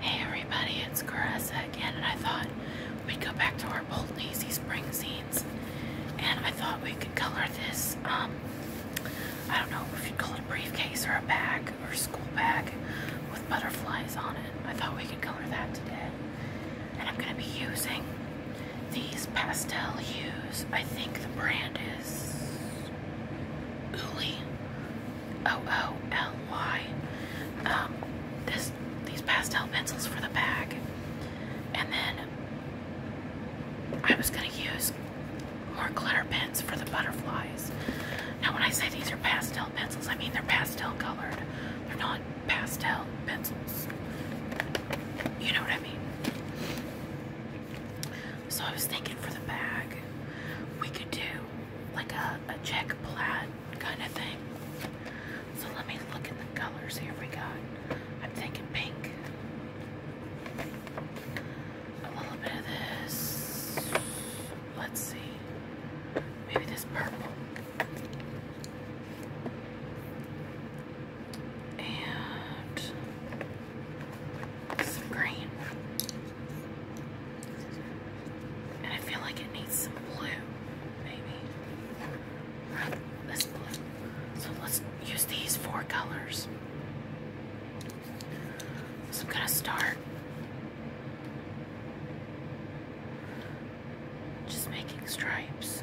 Hey everybody, it's Caressa again, and I thought we'd go back to our old Daisy Spring scenes, and I thought we could color this, um, I don't know if you'd call it a briefcase or a bag or a school bag with butterflies on it. I thought we could color that today, and I'm going to be using these pastel hues. I think the brand is Uli O O L Y. Um, this these pastel pencils for the bag, and then I was gonna use more glitter pens for the butterflies. Now, when I say these are pastel pencils, I mean they're pastel colored. They're not pastel pencils. You know what I mean? So I was thinking for the bag, we could do like a, a check plaid kind of thing. So let me look at the colors here we got. I'm thinking pink. A little bit of this. Let's see. Maybe this purple. And some green. And I feel like it needs some blue, maybe. This blue. So let's use these four colors. So I'm going to start just making stripes.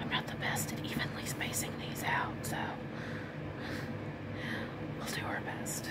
I'm not the best at evenly spacing these out, so we'll do our best.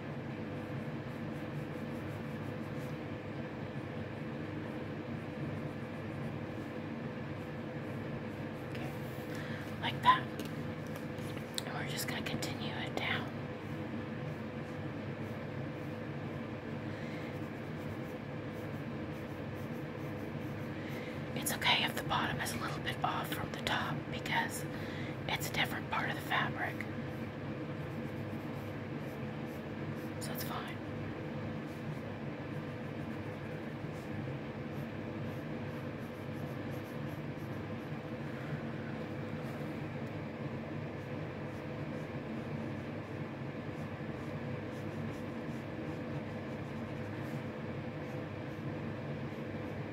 Okay. Like that. And we're just going to continue it down. It's okay if the bottom is a little bit off from the top because it's a different part of the fabric. So that's fine.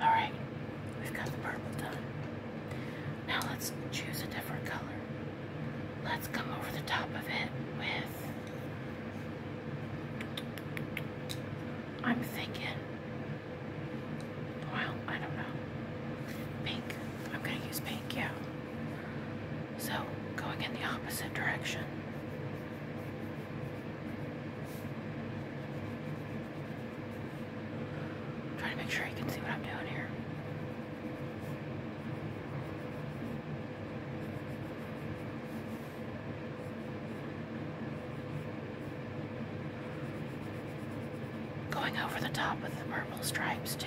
Alright, we've got the purple done. Now let's choose a different color. Let's come over the top of it with, I'm thinking, well, I don't know, pink. I'm going to use pink, yeah. So, going in the opposite direction trying to make sure you can see what I'm doing here. Going over the top with the purple stripes too.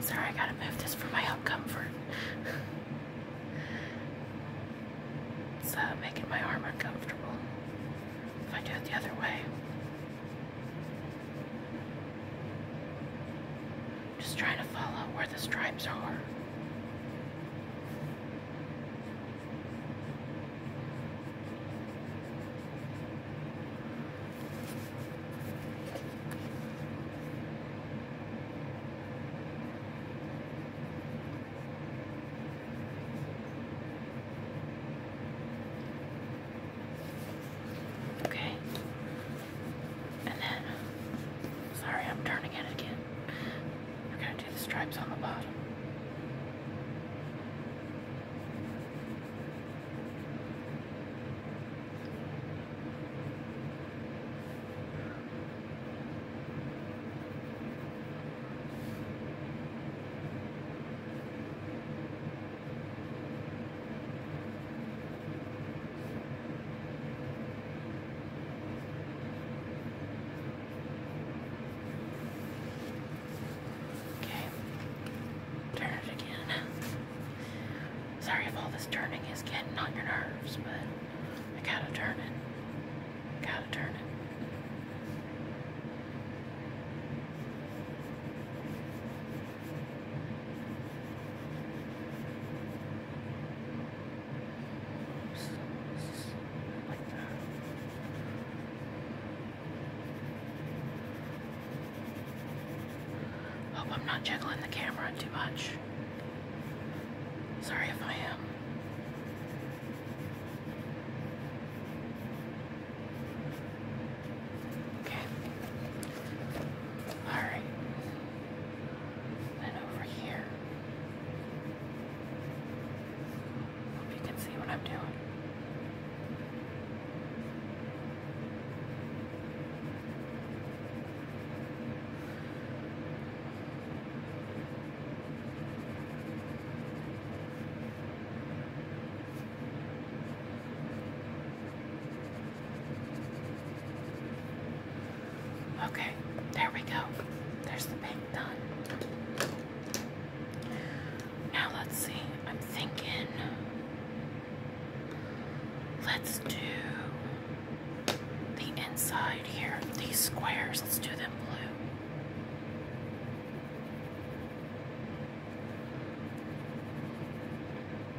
Sorry, I gotta move this for my own comfort. it's making my arm uncomfortable if I do it the other way. Just trying to follow where the stripes are. Okay, and then, sorry, I'm turning it again. We're gonna do the stripes on the bottom. Okay, turn it again. Sorry if all this turning is getting on your nerves, but I gotta turn it. Gotta turn it. Hope I'm not jiggling the camera too much. Sorry if I am. Okay. All right and over here. Hope you can see what I'm doing. Okay, there we go. There's the pink done. Now let's see. I'm thinking let's do the inside here. These squares, let's do them blue.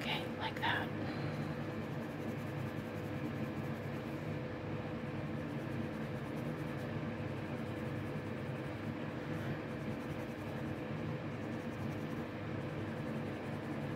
Okay, like that.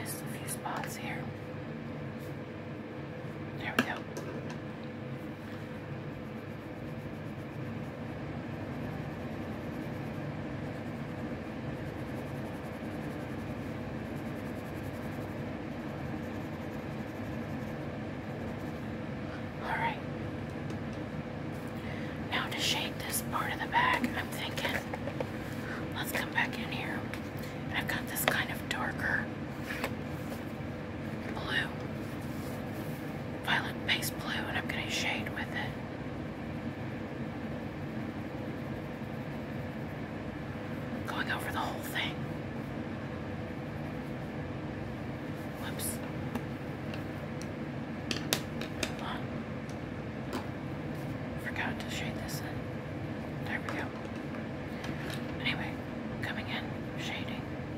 Missed a few spots here. There we go. All right. Now to shake this part of the bag, I'm thinking, let's come back in here. I've got this kind of darker blue, violet base blue, and I'm going to shade with it. Going over the whole thing. Whoops. Hold Forgot to shade this in. There we go. Anyway, coming in, shading.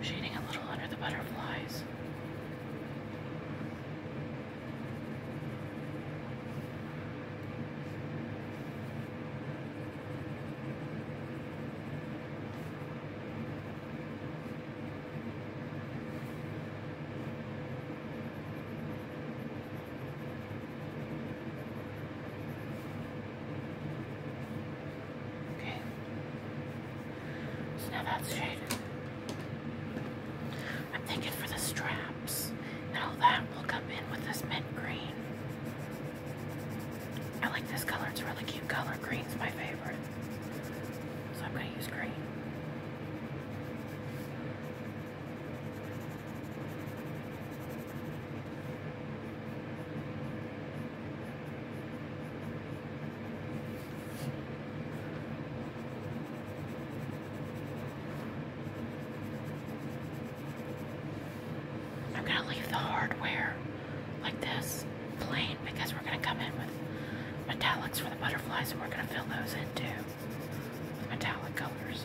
Shading a little under the butterflies. Okay. So now straight. I'm thinking for the straps and that will come in with this mint green. I like this color, it's really cute color. Green's my favorite. So I'm gonna use green. I'm going to leave the hardware like this plain because we're going to come in with metallics for the butterflies and we're going to fill those in too with metallic colors.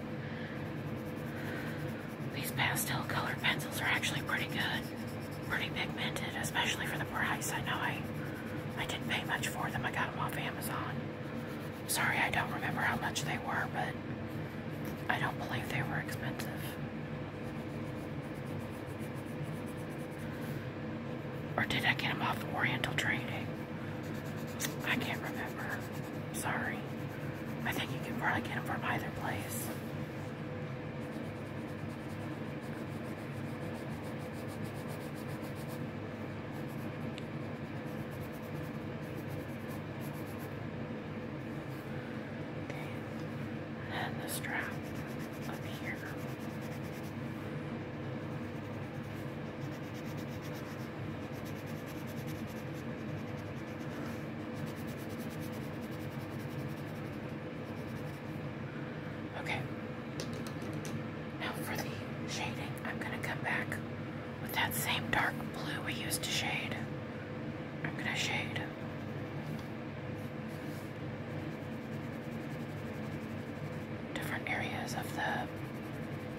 These pastel colored pencils are actually pretty good, pretty pigmented, especially for the price. I know I, I didn't pay much for them. I got them off Amazon. Sorry, I don't remember how much they were, but I don't believe they were expensive. Or did I get them off Oriental Trading? I can't remember. Sorry. I think you can probably get them from either place. Okay, and the strap up here. Okay. Now for the shading, I'm going to come back with that same dark blue we used to shade. I'm going to shade. Different areas of the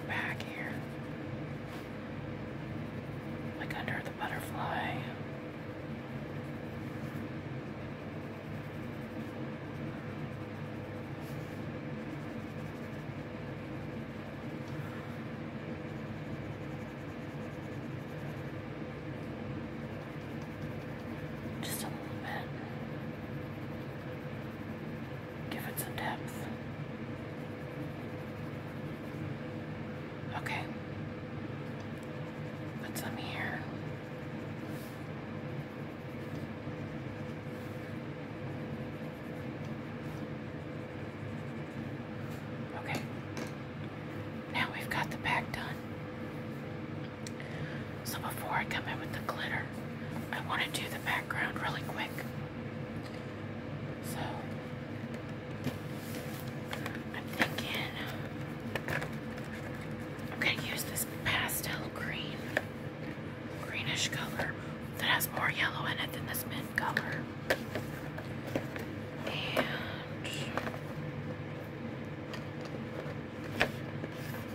back here like under the butterfly. Just a little bit. Give it some depth. Okay. Put some here. Okay. Now we've got the back done. So before I come in with the glitter, I want to do the background really quick. So I'm thinking I'm going to use this pastel green, greenish color that has more yellow in it than this mint color. And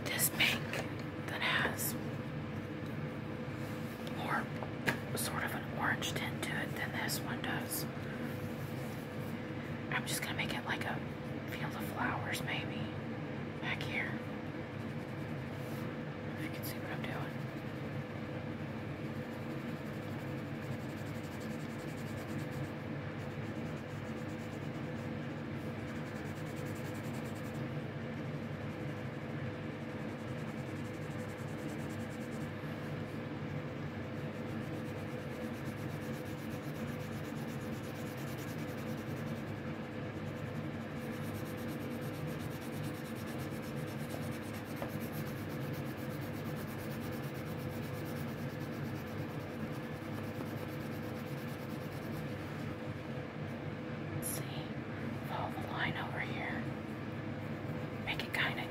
this pink that has more sort of an orange tint to it than this one does. I'm just gonna make it like a field of flowers, maybe, back here. If you can see what I'm doing. See, follow the line over here. Make it kind of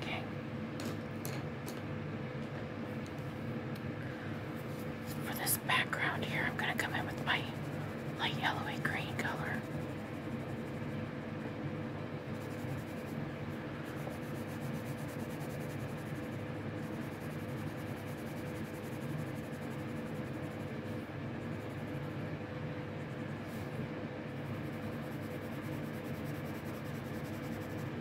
Okay. For this background here, I'm going to come in with my light yellowy green color.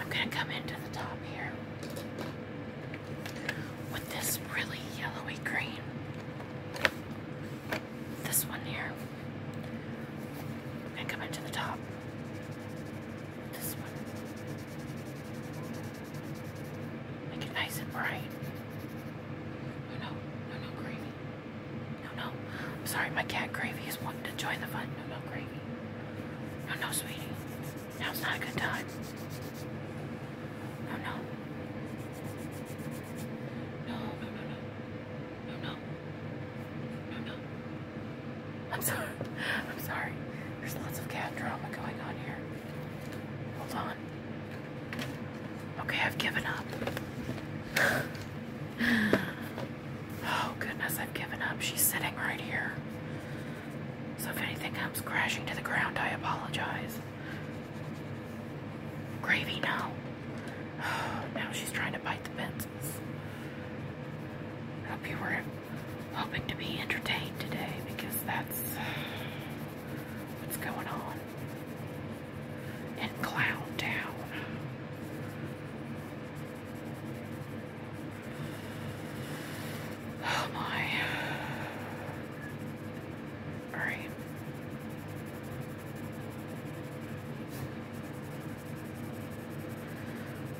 I'm going to come into the top here with this really yellowy green. This one here. And come into the top. This one. Make it nice and bright. No, oh, no, no, no gravy. No, no. I'm sorry, my cat Gravy is wanting to join the fun. No, no gravy. No, no, sweetie. Now's not a good time. No, no. No, no, no, no. No, no. No, no. I'm sorry. I'm sorry. There's lots of cat drama going on here. Hold on. Okay, I've given up. oh, goodness, I've given up. She's sitting right here. So if anything comes crashing to the ground, I apologize. Gravy, now. now she's trying to bite the fences. hope you were hoping to be entertained today because that's what's going on in Clown Town. Oh my. Alright.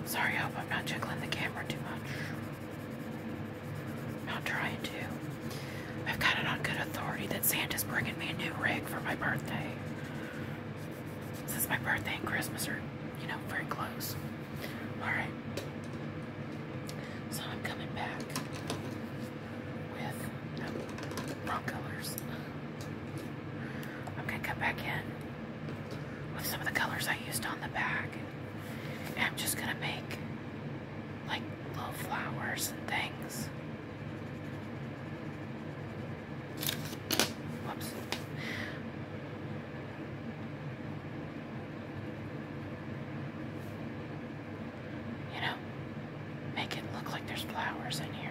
Sorry, I hope I'm not jiggling the camera too much. I'm not trying to. I've got it on good authority that Santa's bringing me a new rig for my birthday. Since my birthday and Christmas are, you know, very close. Alright. So I'm coming back with no, uh, wrong colors. I'm gonna come back in with some of the colors I used on the back I'm just gonna make like little flowers and things. Whoops. You know, make it look like there's flowers in here.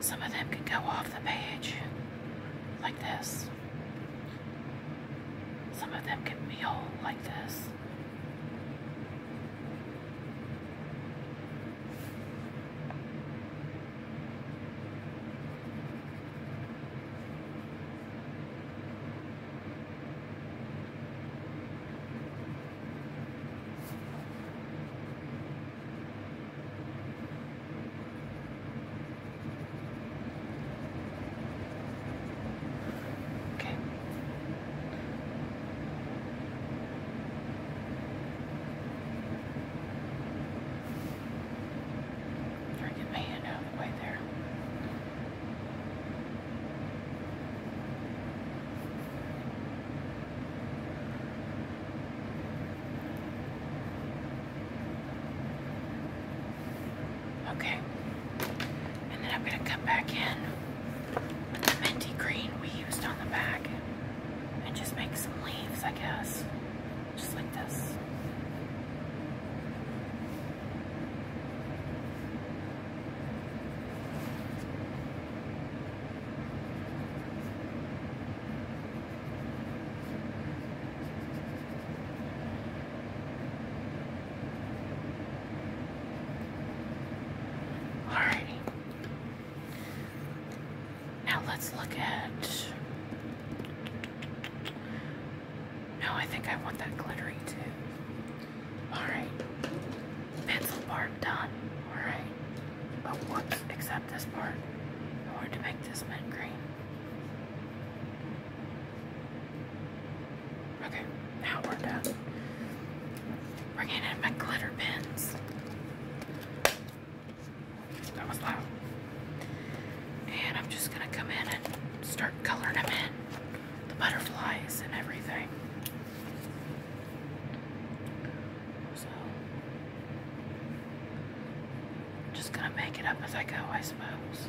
Some of them can go off the page like this. Some of them can meal like this. Okay. Try to get the way there. Okay. And then I'm going to come back in with the minty green we used on the back and just make some leaves, I guess. Just like this. Alrighty. Now let's look at no, I think I want that glittery too. Alright. Pencil part done. Alright. But whoops, except this part. I wanted to make this mint green. Okay, now we're done. we in my glitter pins. That was loud. And I'm just gonna come in and start coloring them in the butterflies and everything. So, just gonna make it up as I go, I suppose.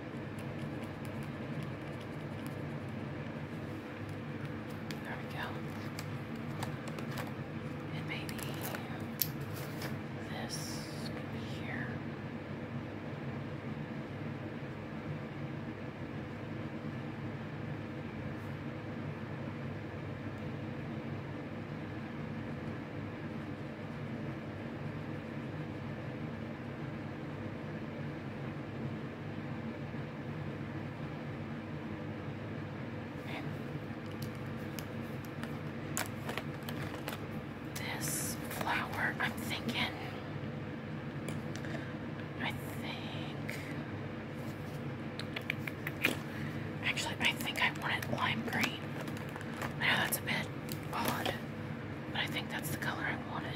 There we go. maybe this here this flower, I'm thinking, I think, actually, I think I want it lime green. I know that's a bit odd. But I think that's the color I wanted.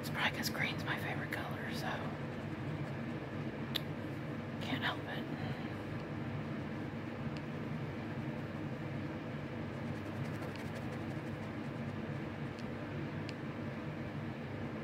It's probably because green's my favorite color, so can't help it.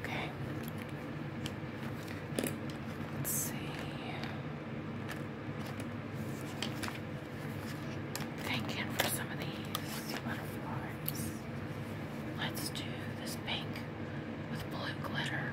Okay. Let's see. Thank you for some of these butterflies. Let's do this pink with blue glitter.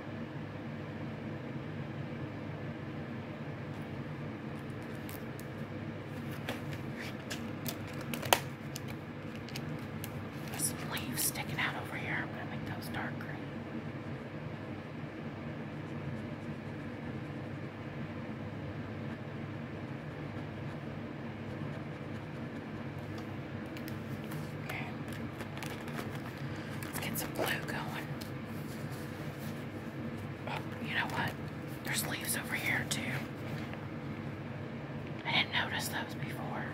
There's some leaves sticking out over here. I'm going to make those dark green. Okay get some blue going. Oh, you know what? There's leaves over here too. I didn't notice those before.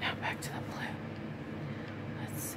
Now back to the blue. Let's see.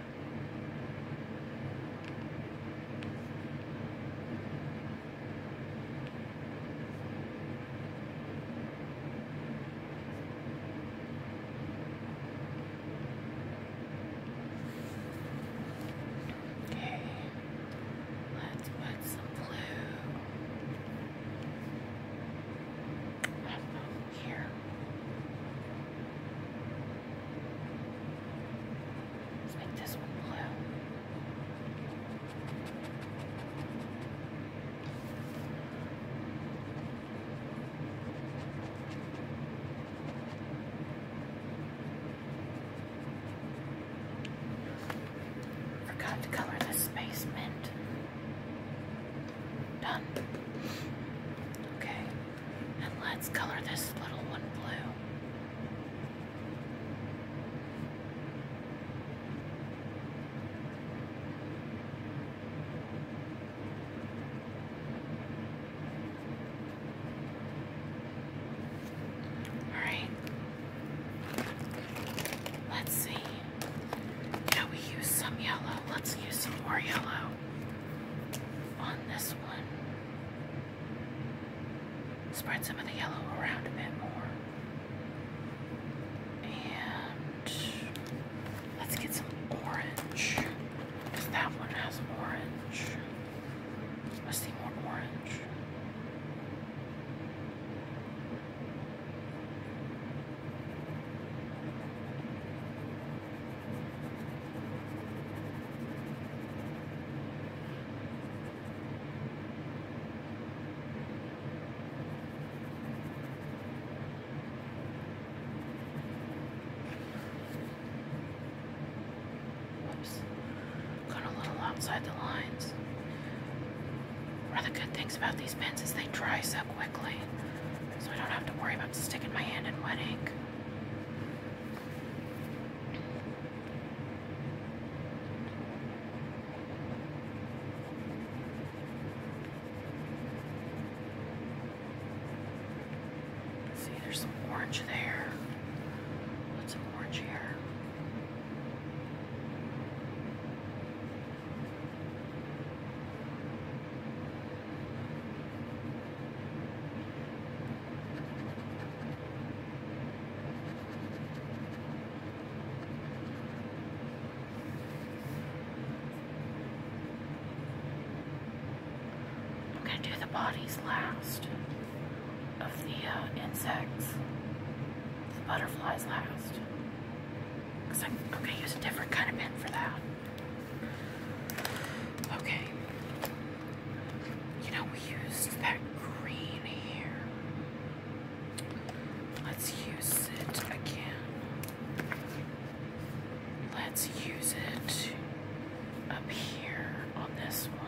Okay, let's put some blue up here. Let's make this one blue. Forgot to color this space mint. Done. Okay. And let's color this little one blue. All right. Let's see. Yeah, we use some yellow. Let's use some more yellow on this one. Spread some of the yellow around a bit more. And let's get some orange. that one has orange. Let's see more orange. Whoops. Got a little outside the lines. One of the good things about these pens is they dry so quickly, so I don't have to worry about sticking my hand in wet ink. See, there's some orange there. What's some orange here? I'm going to do the bodies last of the uh, insects, the butterflies last. Because I'm, going to use a different kind of pen for that. Okay. You know, we used that green here. Let's use it again. Let's use it up here on this one.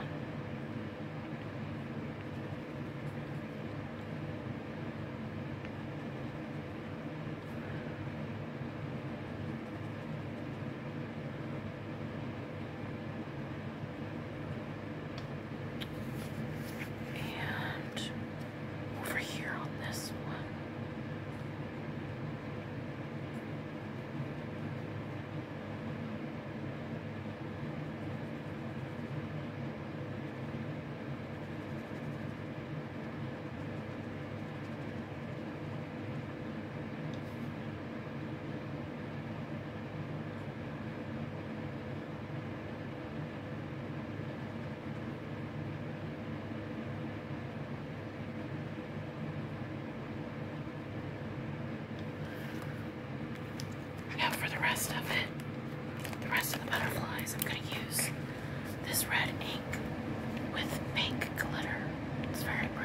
And over here on this one. Now for the rest of it, the rest of the butterflies, I'm going to use this red ink with pink glitter. It's very pretty.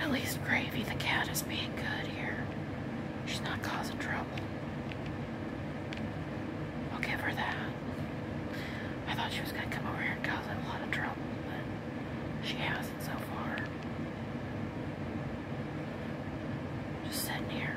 At least Gravy the cat is being good here. She's not causing trouble. I'll give her that. I thought she was going to come over here and cause a lot of trouble, but she hasn't so far. Just sitting here.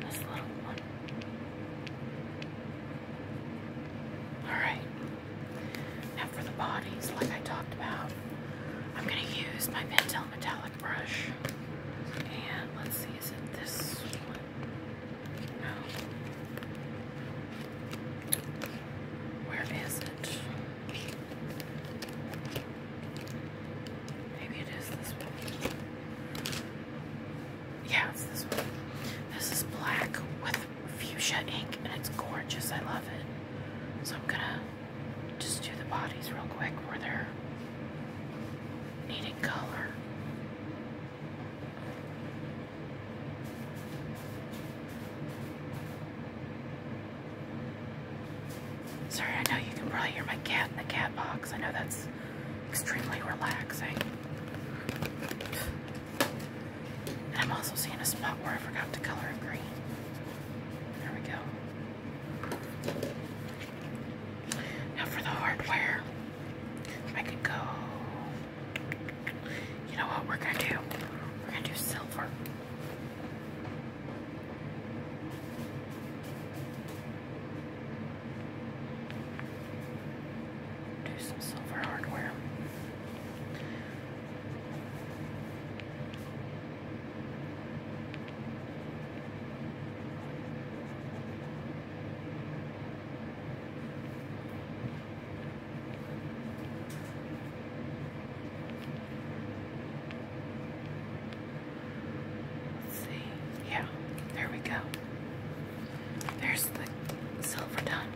This little one. All right. Now for the bodies, like I talked about, I'm going to use my Pentel Metallic brush. And let's see, is it this one? No. Where is it? Maybe it is this one. Yeah, it's this one. This is black with fuchsia ink and it's gorgeous. I love it. So I'm gonna just do the bodies real quick where they're needing color. Sorry, I know you can probably hear my cat the cat box. I know that's extremely relaxing. And I'm also seeing a spot where I forgot to color green. There we go. Now for the hardware, I could go. You know what we're gonna do? We're gonna do silver. Do some silver hardware. Let's see, yeah, there we go. There's the silver done.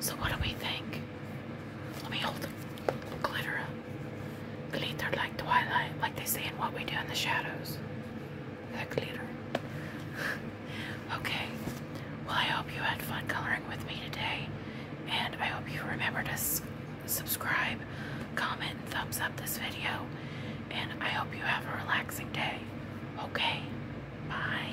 So, what do we think? Let me hold them. glitter up. Glitter like twilight, like they say in What We Do in the Shadows. That glitter. okay. Well, I hope you had fun coloring with me today. And I hope you remember to subscribe, comment, thumbs up this video. And I hope you have a relaxing day. Okay? Bye.